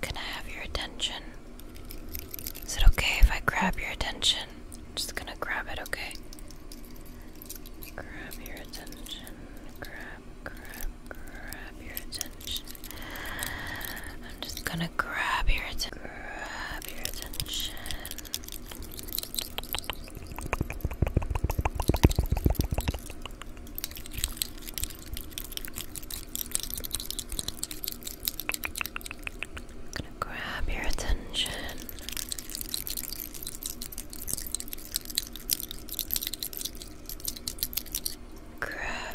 Can I have your attention? Is it okay if I grab your attention? I'm just gonna grab it, okay? Grab your attention. Grab, grab, grab your attention. I'm just gonna grab your attention. Grab your attention gonna grab your attention. Grab.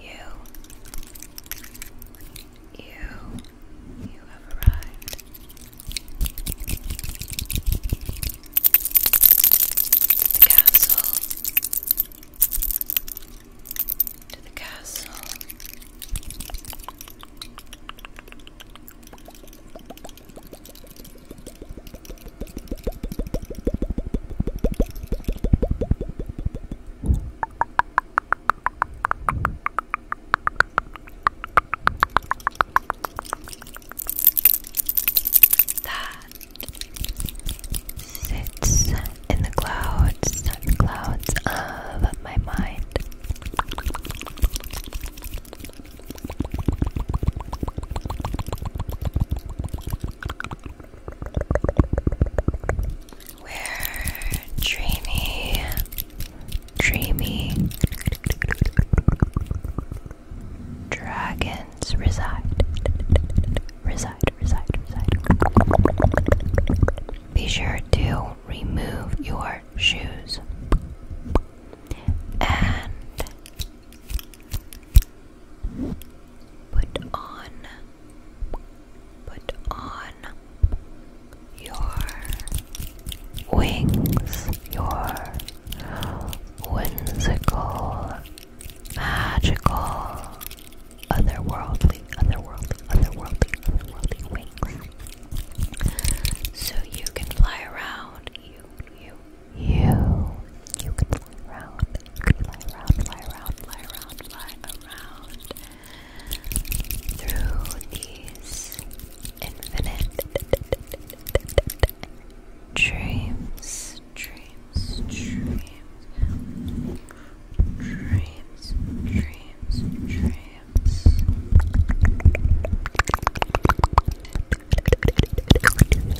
You, you, you have arrived. To the castle, to the castle. That sits in the clouds, clouds of my mind we dreamy, dreamy dragons reside, reside, reside, reside. Be sure to remove your shoes and put on Put on your wings, your whimsical, magical, otherworldly, otherworldly, otherworldly, otherworldly wings. So you can fly around, you, you, you, you can fly around Fly around, fly around, fly around, fly around through these infinite dreams, dreams, dreams, dreams, dreams, dreams.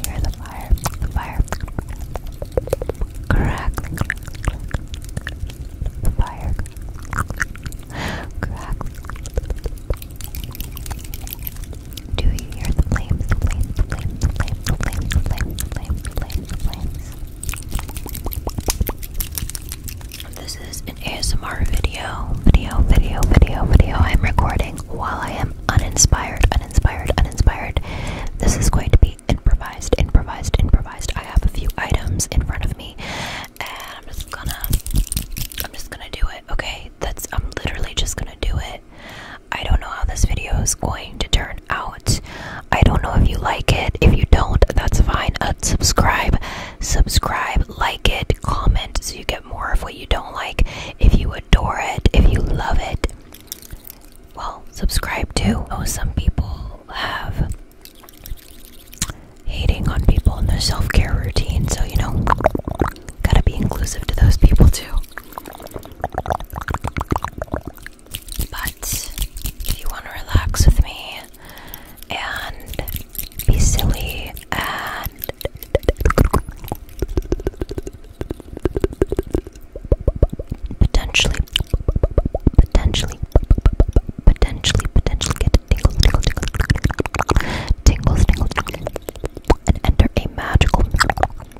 hear the fire? The fire. Crack, fire, crack. Do you hear the flames? flames, flames, flames, flames, flames, flames, flames, flames. This is an ASMR video, video, video, video, video. I'm recording while I am uninspired, uninspired, uninspired. This is going to be improvised, improvised, improvised. I have a few items in front of me, and I'm just gonna, I'm just gonna do it. Okay, that's. I'm literally just gonna do it. I don't know how this video is going to turn out. I don't know if you like it. If you don't, that's fine. Unsubscribe. Uh, subscribe, like it, comment so you get more of what you don't like. If you adore it, if you love it, well, subscribe too. Oh, some people have hating on people in their self care routine, so you know, gotta be inclusive to those people too. But you want to relax with me and be silly and potentially, potentially, potentially, potentially get a tingle, tingle, tingle, tingles, tingles, and enter a magical,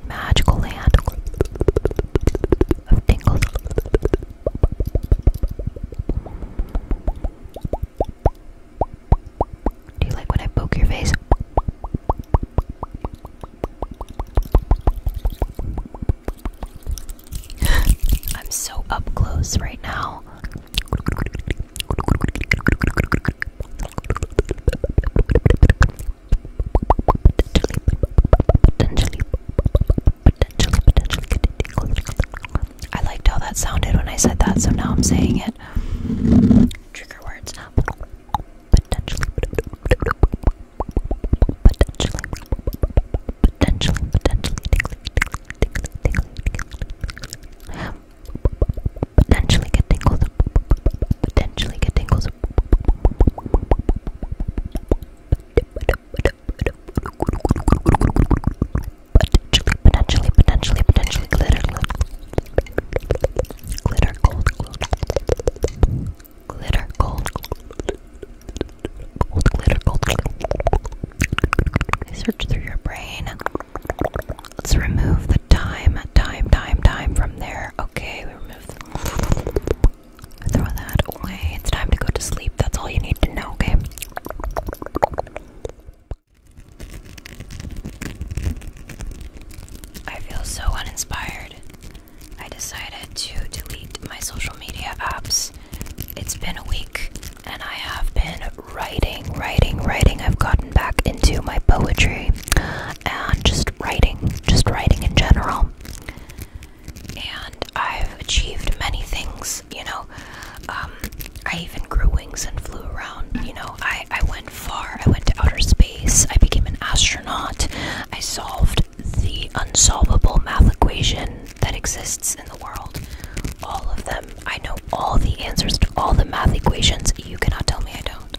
magical land of tingles. Do you like when I poke your face? I'm so up close right now. I liked how that sounded when I said that, so now I'm saying it. Trigger words. potentially, potentially, potentially, potentially tingly, tingly, tingly, tingly. potentially get tingles, potentially get tingles. Potentially, potentially, potentially, potentially glitter, glitter, gold, gold glitter gold. Gold glitter gold. Okay, search through your brain. Let's remove the time, time, time, time from there. Okay, we remove the throw that away. It's time to go to sleep. That's all you need to know, okay? I feel so uninspired. I decided to delete my social media apps. It's been a week and I have been writing, writing, writing. I've gotten back into my poetry and just writing, just writing in general. And I've achieved many things, you know. Um, I even grew wings and flew around, you know. I, I went far, I went to outer space, I became an astronaut, I solved the unsolvable math equation that exists in the world. All of them. I know all the answers to all the math equations. You cannot tell me I don't.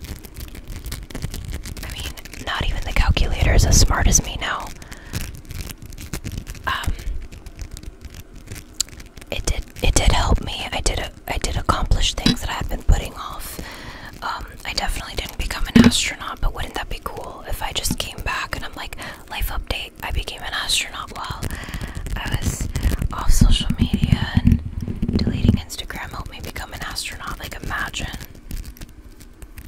I mean, not even the calculator is as smart as me now. Um, it did. It did help me. I did. A, I did accomplish things that I had been putting off. Um, I definitely didn't become an astronaut, but wouldn't that be cool if I just came back and I'm like, life update, I became an astronaut while I was off social media and deleting Instagram helped me become an astronaut. Like, imagine.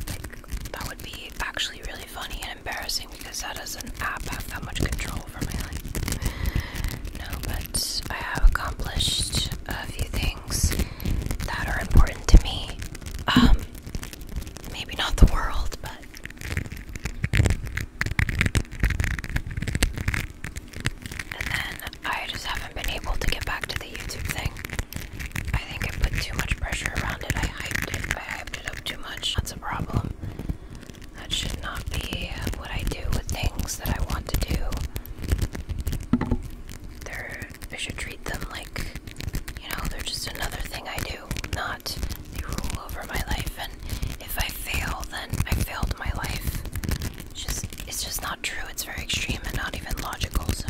Like, that would be actually really funny and embarrassing because that doesn't app have that much control over my life. No, but I have accomplished a few things that are important to me um, maybe not the world, but. And I just haven't been able to get back to the YouTube thing. I think I put too much pressure around it. I hyped it. I hyped it up too much. That's a problem. That should not be what I do with things that I want to do. There I should treat them like, you know, they're just another thing I do, not they rule over my life. And if I fail, then I failed my life. It's just, it's just not true. It's very extreme and not even logical. So.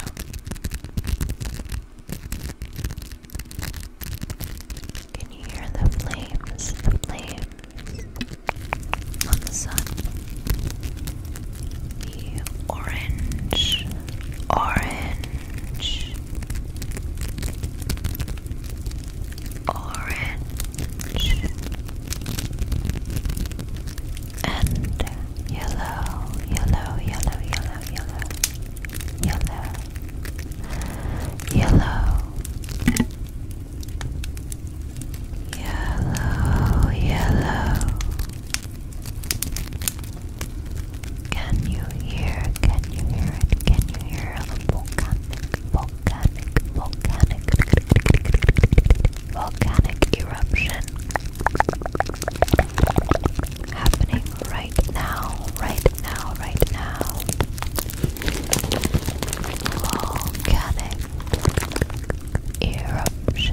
Can you hear the flames? The flames on the sun orange, orange, orange, and yellow, yellow, yellow, yellow, yellow, yellow, yellow. Yellow, yellow, can you hear? Can you hear it? Can you hear the volcanic, volcanic, volcanic, volcanic eruption happening right now, right now, right now? Volcanic, eruption.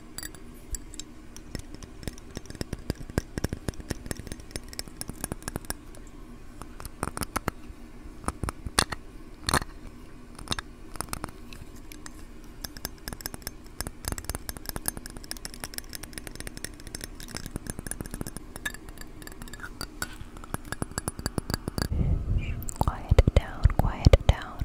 Quiet down, quiet down.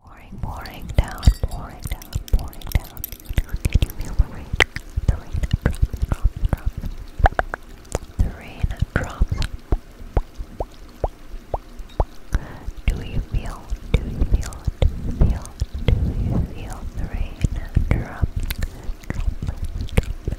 Pouring, pouring down, pouring down, pouring down. Did you feel the rain? The rain drops, drops, The rain do you feel, do you feel, do you feel, do you feel the rain drop, drop, drop, drop, drop, drop,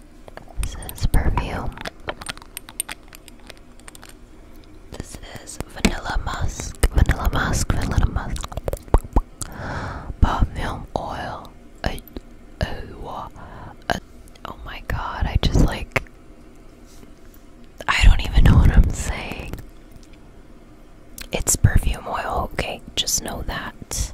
This is perfume. This is vanilla musk, vanilla musk, vanilla musk. Perfume oil. oh my god, I just like. I don't even know what I'm saying. It's perfume oil, okay, just know that.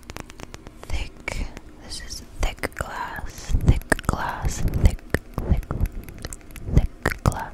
thick. This is thick glass, thick glass, thick, thick, thick glass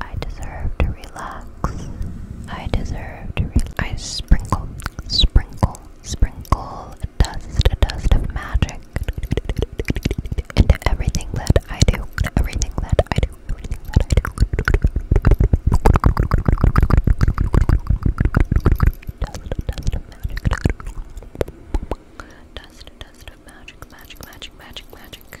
I deserve to relax. I deserve to relax. I sprinkle, sprinkle, sprinkle a dust, a dust of magic into everything that I do. Everything that I do. Everything that I do. Dust, dust of magic, magic, magic, magic, magic.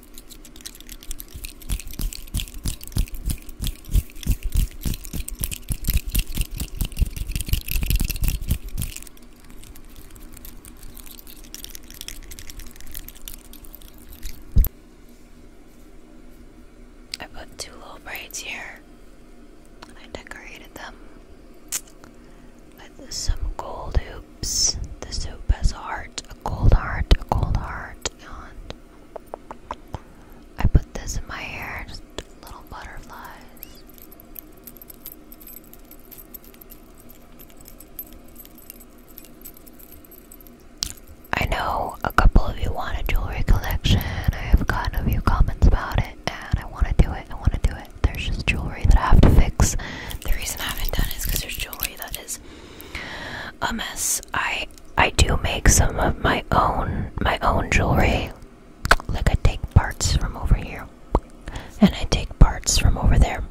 I put two little braids here I decorated them with some gold hoops. The hoop has a heart, a gold heart, a gold heart. I put this in my hair, just little butterflies. I know a couple of you want a jewelry collection. I have gotten a few comments about it, and I want to do it. I want to do it. There's just jewelry that I have to fix. The reason I haven't done it is because there's jewelry that is a mess. I I do make some of my own my own jewelry. Like I take parts from over here, and I take parts from over there,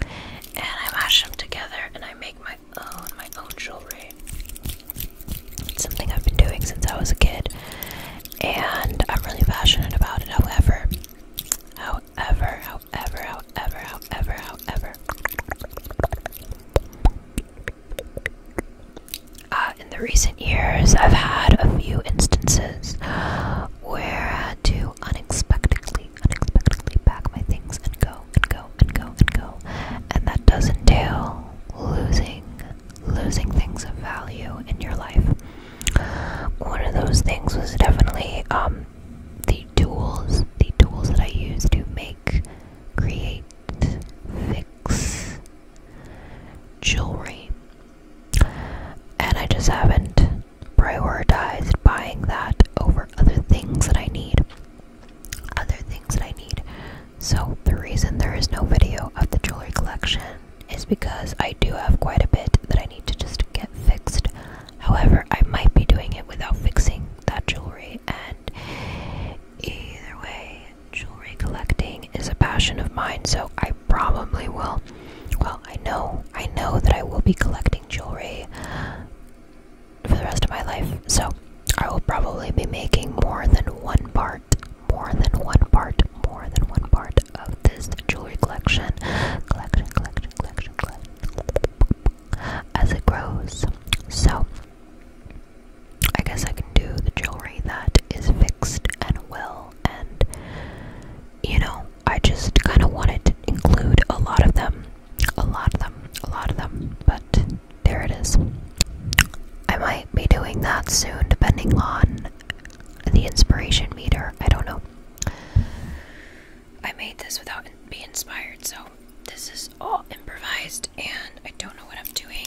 and I mash them together, and I make my own my own jewelry. It's something I've been doing since I was a kid, and I'm really passionate about it. However, however. However, however, however, however, however. Uh, in the recent years, I've had a few instances where I had to unexpectedly, unexpectedly pack my things and go, and go, and go, and go. And that does entail losing, losing things of value in your life. One of those things was definitely um, the tools, the tools that I use to make, create, fix jewelry. And I just haven't prioritized buying that over other things that I need. Other things that I need. So, the reason there is no video of the jewelry collection is because I do have quite a bit that I need to just get fixed. However, I might be doing it without fixing that jewelry, and either way, jewelry collecting is a passion of mine, so I probably will. Well, I know, I know that I will be collecting jewelry for the rest of my life, so I will probably be making more than one part, more than one part, more than one part of this jewelry collection. Collection, collection, collection, collection as it grows. So, I guess I can do the jewelry that is fixed and will, and you know, I just kind of wanted to include a lot of them, a lot of them, a lot of them, but there it is. I might be doing that soon, depending on the inspiration meter. I don't know. I made this without being inspired, so this is all improvised and I don't know what I'm doing.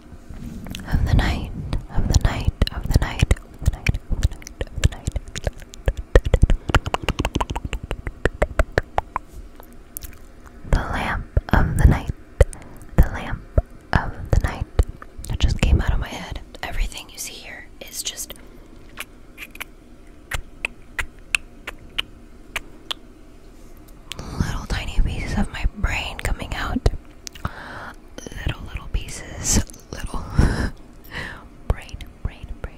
of the night, of the night, of the night, of the night, of the night, of the night. The lamp of the night, the lamp of the night. That just came out of my head. Everything you see here is just. Little tiny pieces of my brain coming out little little pieces, little brain, brain, brain.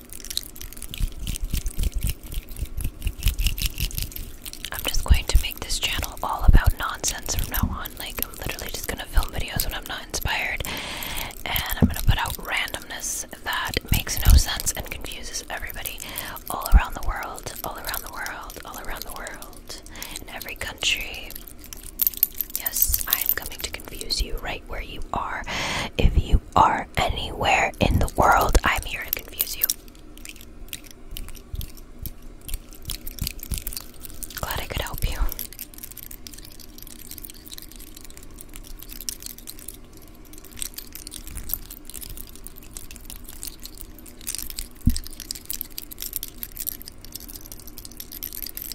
I'm just going to make this channel all about nonsense from now on. Like, I'm literally just gonna film videos when I'm not inspired, and I'm gonna put out randomness that makes no sense and confuses everybody all around the world, all around the world, all around the world, in every country, Yes, I am coming to confuse you right where you are. If you are anywhere in the world, I'm here to confuse you. Glad I could help you.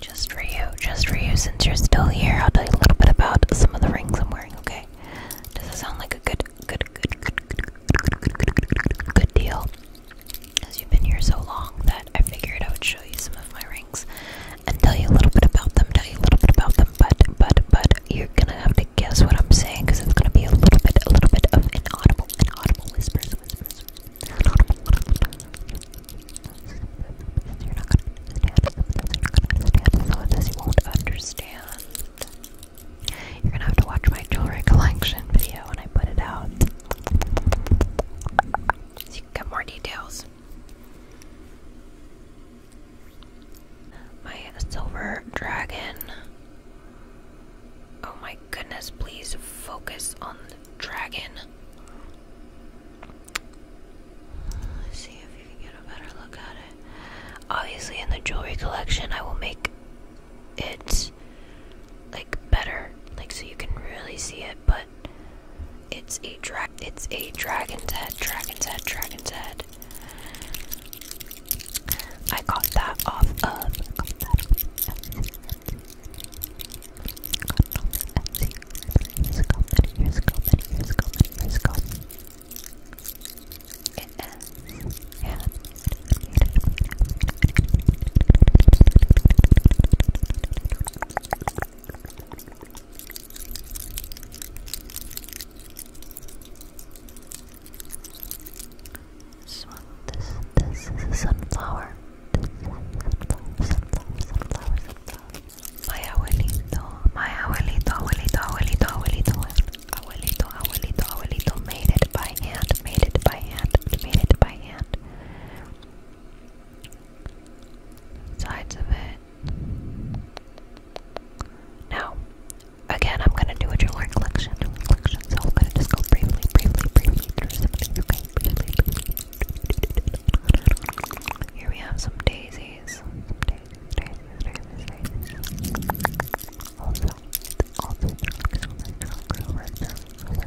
Just for you, just for you, since you're still here, I'll tell you a little bit about some of the rings I'm wearing, okay? Does it sound like a good, good, good, good, good, good, good, good deal? Because you've been here so long that I figured I would show you some of my rings and tell you a little bit about them, tell you a little bit about them, but, but, but, you're gonna have to guess what I'm saying because it's gonna be a little bit, a little bit of inaudible, inaudible whispers, whispers. Inaudible, You're not gonna understand. You're this you won't understand. You're gonna have to watch my jewelry collection video when I put it out, so you can get more details. My silver dragon. Oh my goodness, please focus on the dragon. see if you can get a better look at it. Obviously, in the jewelry collection, I will make it like better, like so you can really see it. But it's a drag, it's a dragon's head, dragon's head, dragon's head. I got that off of. This one, this, this is a sunflower. sunflower, sunflower, sunflower, sunflower. My abuelito, my abuelito, abuelito, abuelito, abuelito, abuelito, abuelito, abuelito made it by hand, made it by hand, made it by hand. Sides of it. Now, again, I'm gonna do a jewelry collection, jewelry collection, so I'm gonna just go briefly, briefly, briefly through some of these, okay? Briefly, briefly. Here we have some daisies. Some daisies, daisies, daisies, daisies. Also, also, silver, silver, silver, silver, silver, silver,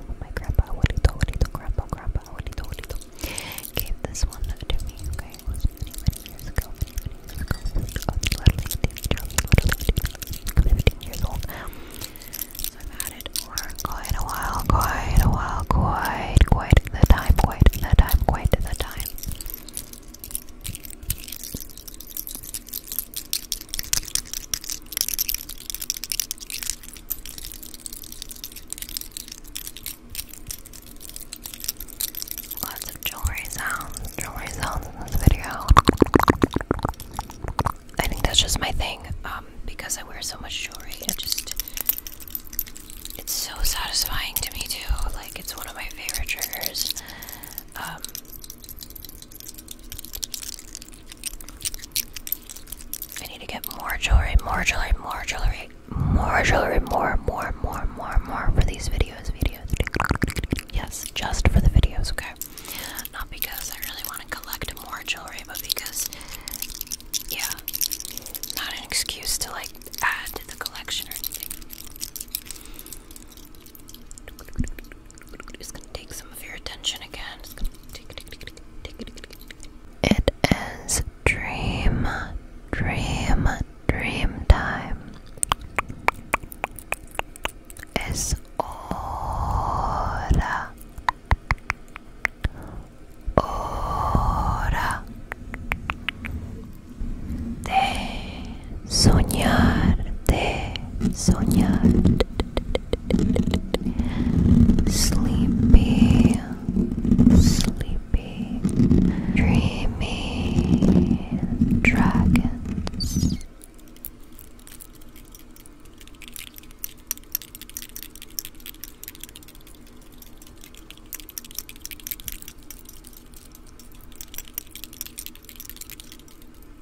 name of my grandpa, abuelito, abuelito, grandpa, grandpa, abuelito, abuelito, gave this one to me, okay? many, many years ago, many, many years ago. 15 years old. I've had it for quite a while, quite a while, quite, quite the time, quite the time, quite the time. Lots of jewelry sounds, jewelry sounds in this video. I think that's just my thing. Um, because I wear so much jewelry, it just it's so satisfying to me too. Like it's one of my favorite triggers. Um I need to get more jewelry, more jewelry, more jewelry, more jewelry, more, more, more, more, more for these videos, videos. Yes, just for the videos, okay? Not because I really want to collect more jewelry, but because, yeah, not an excuse to like add to the collection or anything. It's going dream, dream, dream time. Es hora, hora de soñar, de soñar. Sleepy, sleepy, dreamy dragons.